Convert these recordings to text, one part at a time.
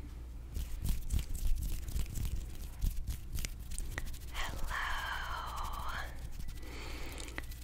Hello,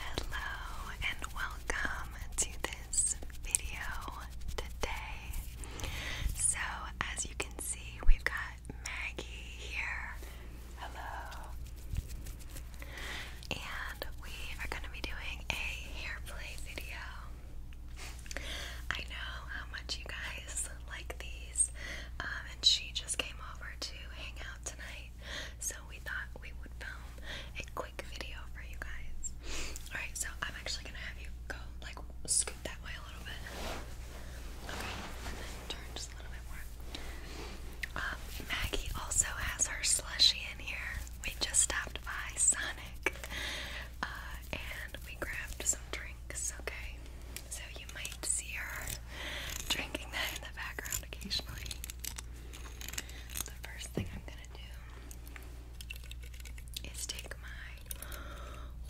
hello, and welcome to this video today. So, as you can see, we've got Maggie here. Hello, and we are going to be doing a hair play video. I know how much you guys like these, um, and she just came over to hang out tonight, so we thought we would film a quick video for you guys. Alright, so I'm actually gonna have you go like scoot that way a little bit. Okay, and then turn just a little bit more. Um, Maggie also has her slushy in here. We just stopped by Sonic uh, and we grabbed some drinks, okay? So you might see her drinking that in the background occasionally. The first thing I'm gonna do is take my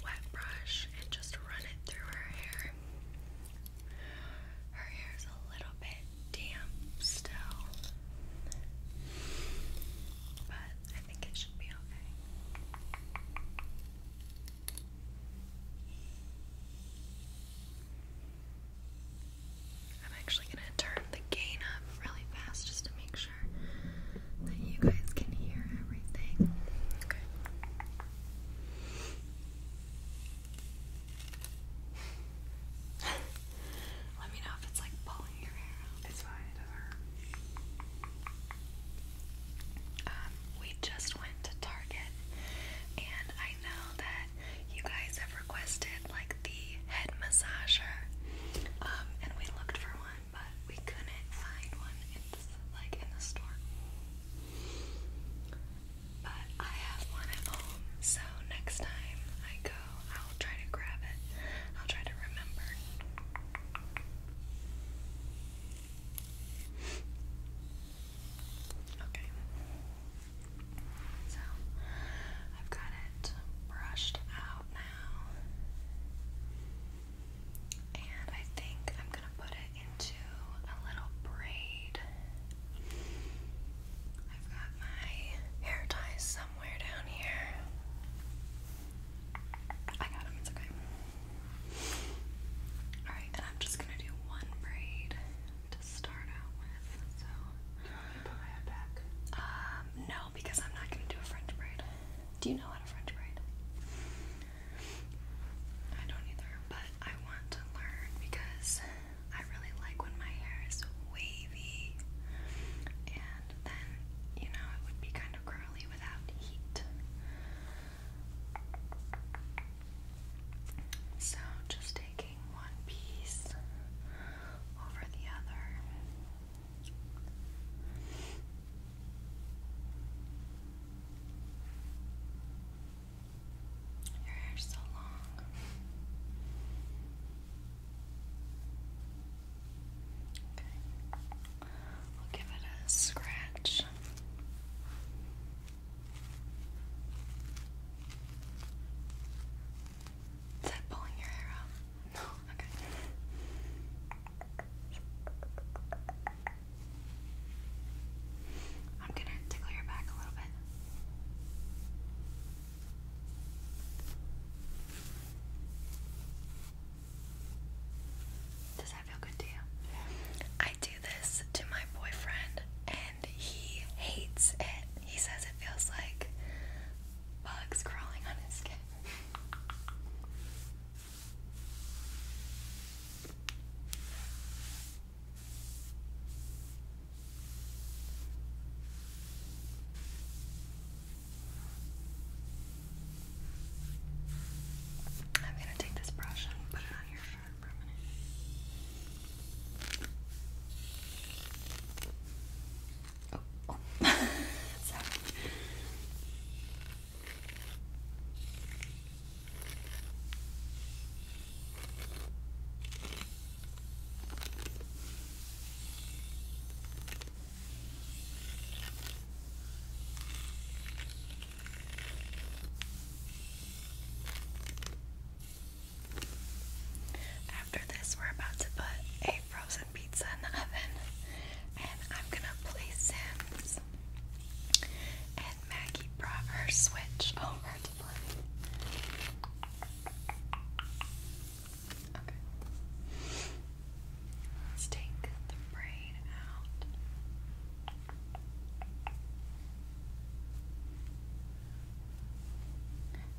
wet brush and just run it through her hair. Her hair is a little bit damp still, but think it should be okay. I'm actually going to turn the gain up really fast just to make sure that you guys can hear everything. Okay. Let me know if it's like pulling it's fine, um, we just went to Target and I know that you guys have requested like the head massager. Um, and we looked for one, but we couldn't find one like in the store. But I have one at home, so next time I go I'll try to grab it. I'll try to remember. Okay. So, I've got it brushed out now. And I think I'm going to put it into a little braid. I've got my hair ties somewhere down here. I got him, it's okay. Alright, and I'm just gonna do one braid to start out with. So do you want me to put my head back? Um, no, because I'm not gonna do a French braid. Do you know how to French braid? I don't either, but I want to learn because I really like when my hair is wavy and then you know it would be kind of curly without heat. So just taking one piece over the other. Your hair's so long. Okay. We'll give it a scratch. Is that pulling your hair out? No, okay. I'm gonna tickle your back a little bit. Does that feel good to you? I do this to my boyfriend and he hates it. He says it feels like bugs crawling on his skin. I'm going to take this brush and put it on your shirt for a minute. Oh, sorry. After this, we're about to put a frozen pizza in the oven, and I'm gonna place Sims. And Maggie brought her Switch over to play. Okay. Let's take the braid out.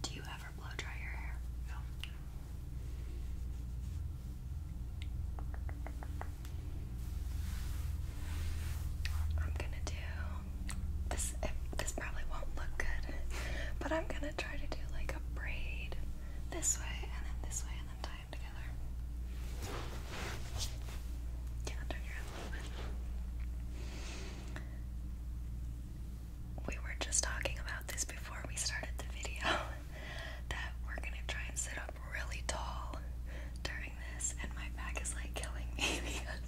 Do you ever blow dry your hair? I'm gonna do this. this probably won't look good, but I'm gonna try to do like a braid this way and then this way and then tie them together. Yeah, turn your head We were just talking about this before we started the video that we're gonna try and sit up really tall during this, and my back is like killing me because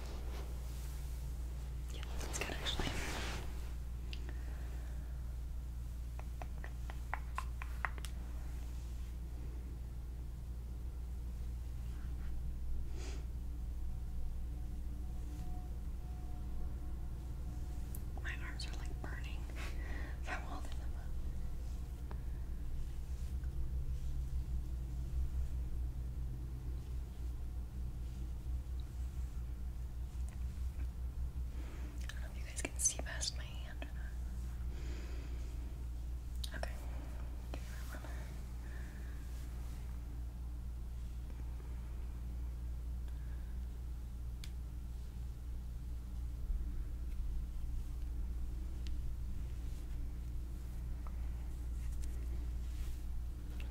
Yeah, that's good actually. My arms are like burning from holding them up. I don't know if you guys can see past my hand Okay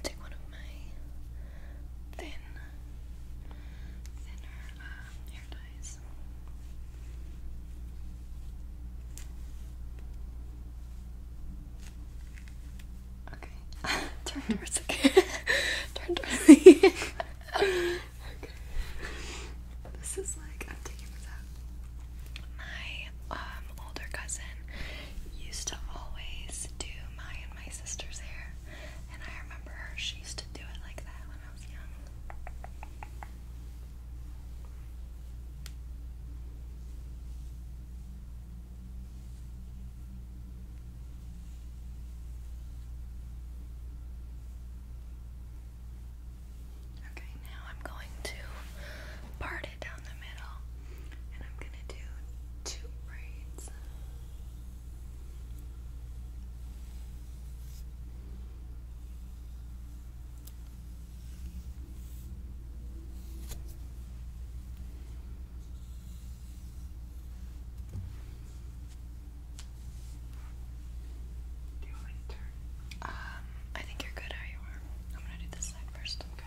take one of my thin, thinner um, hair ties. Okay, turn towards the again. turn towards again. okay. This is like I'm taking out. My um, older cousin used to always do my and my sister's hair, and I remember her, she used to do it like that when I was young. Okay, now I'm going to part it down down the middle, and I'm gonna do two braids. Do you want to turn? Um, I think you're good how you are. I'm gonna do this side first. Okay.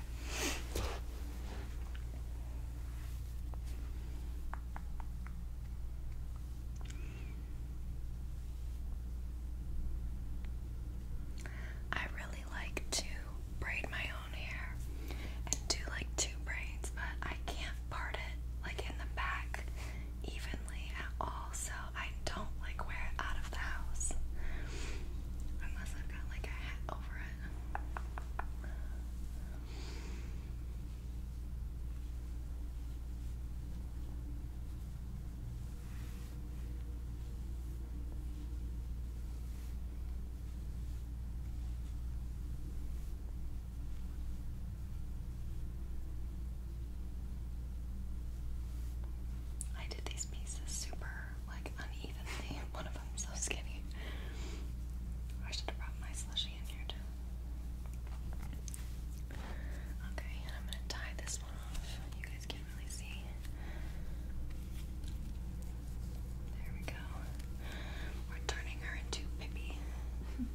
I really like to braid my own hair and do like two braids, but I can't part it like in the back evenly at all, so I don't like wear it out out of the house unless I've got like a hat over it. I did these pieces super like unevenly. One of them's so skinny. I should have brought my slushy in here too. Okay, and I'm gonna tie this one off. You guys can't really see. There we go. We're turning her into Pippi.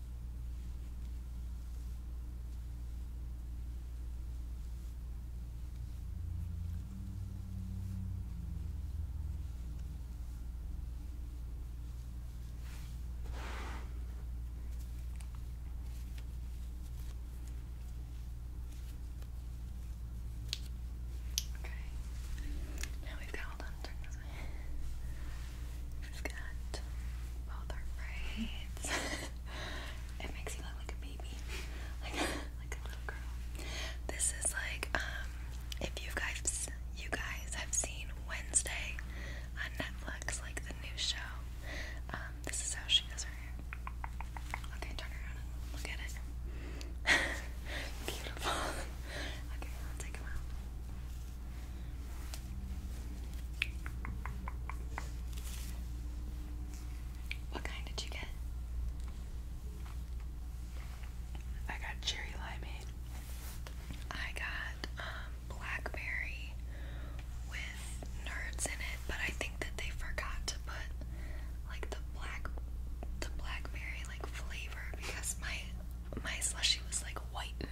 Okay. Now we've got all done we got both our braids. it makes you look like a baby, like like a little girl. This is like um, if you guys you guys have seen Wednesday on Netflix, like the new show. Um, this is how she does her hair. Okay, turn around look at it. Beautiful. okay, I'll take them out. What kind did you get? I got cherry limeade. I got um, blackberry with nerds in it, but I think that they forgot to put like the black the blackberry like flavor because my my slushy was like white and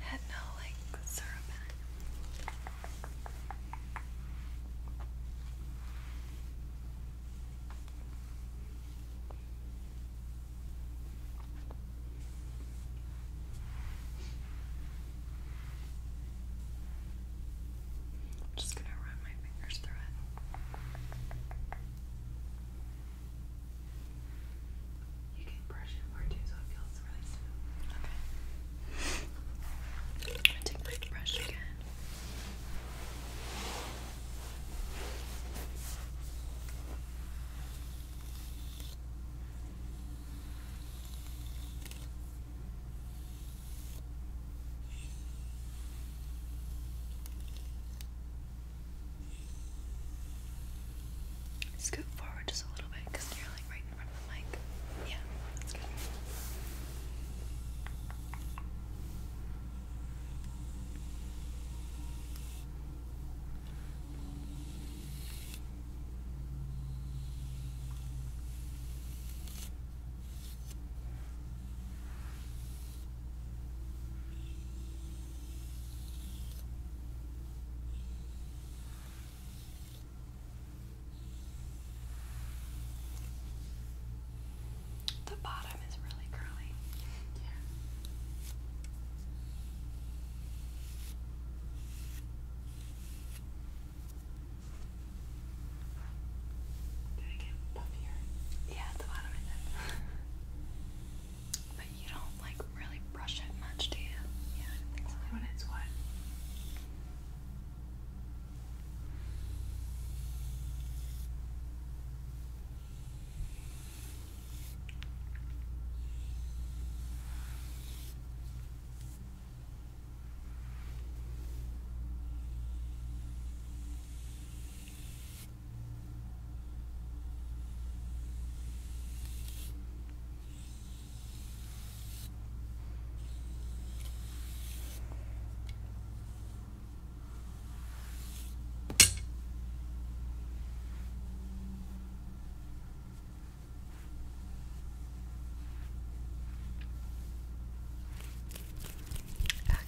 had no like syrup in it. I'm just going to run my fingers through it. You can brush it more too, so it feels really smooth. Okay. I'm gonna take my brush again. Scoot forward just a little bit because you're like right in front of the mic. Yeah, that's good. The bottom is really curly. Yeah. Did it puffier? Yeah, the bottom of But you don't like really brush it much, do you? Yeah, I don't think so. When it's wet. Okay.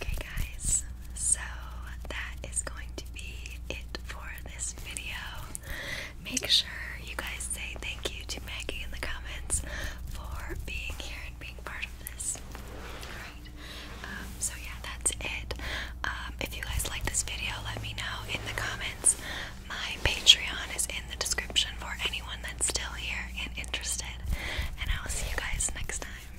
Okay, guys, so that is going to be it for this video. Make sure you guys say thank you to Maggie in the comments for being here and being part of this. Alright, um, so yeah, that's it. Um, if you guys like this video, let me know in the comments. My Patreon is in the description for anyone that's still here and interested. And I will see you guys next time.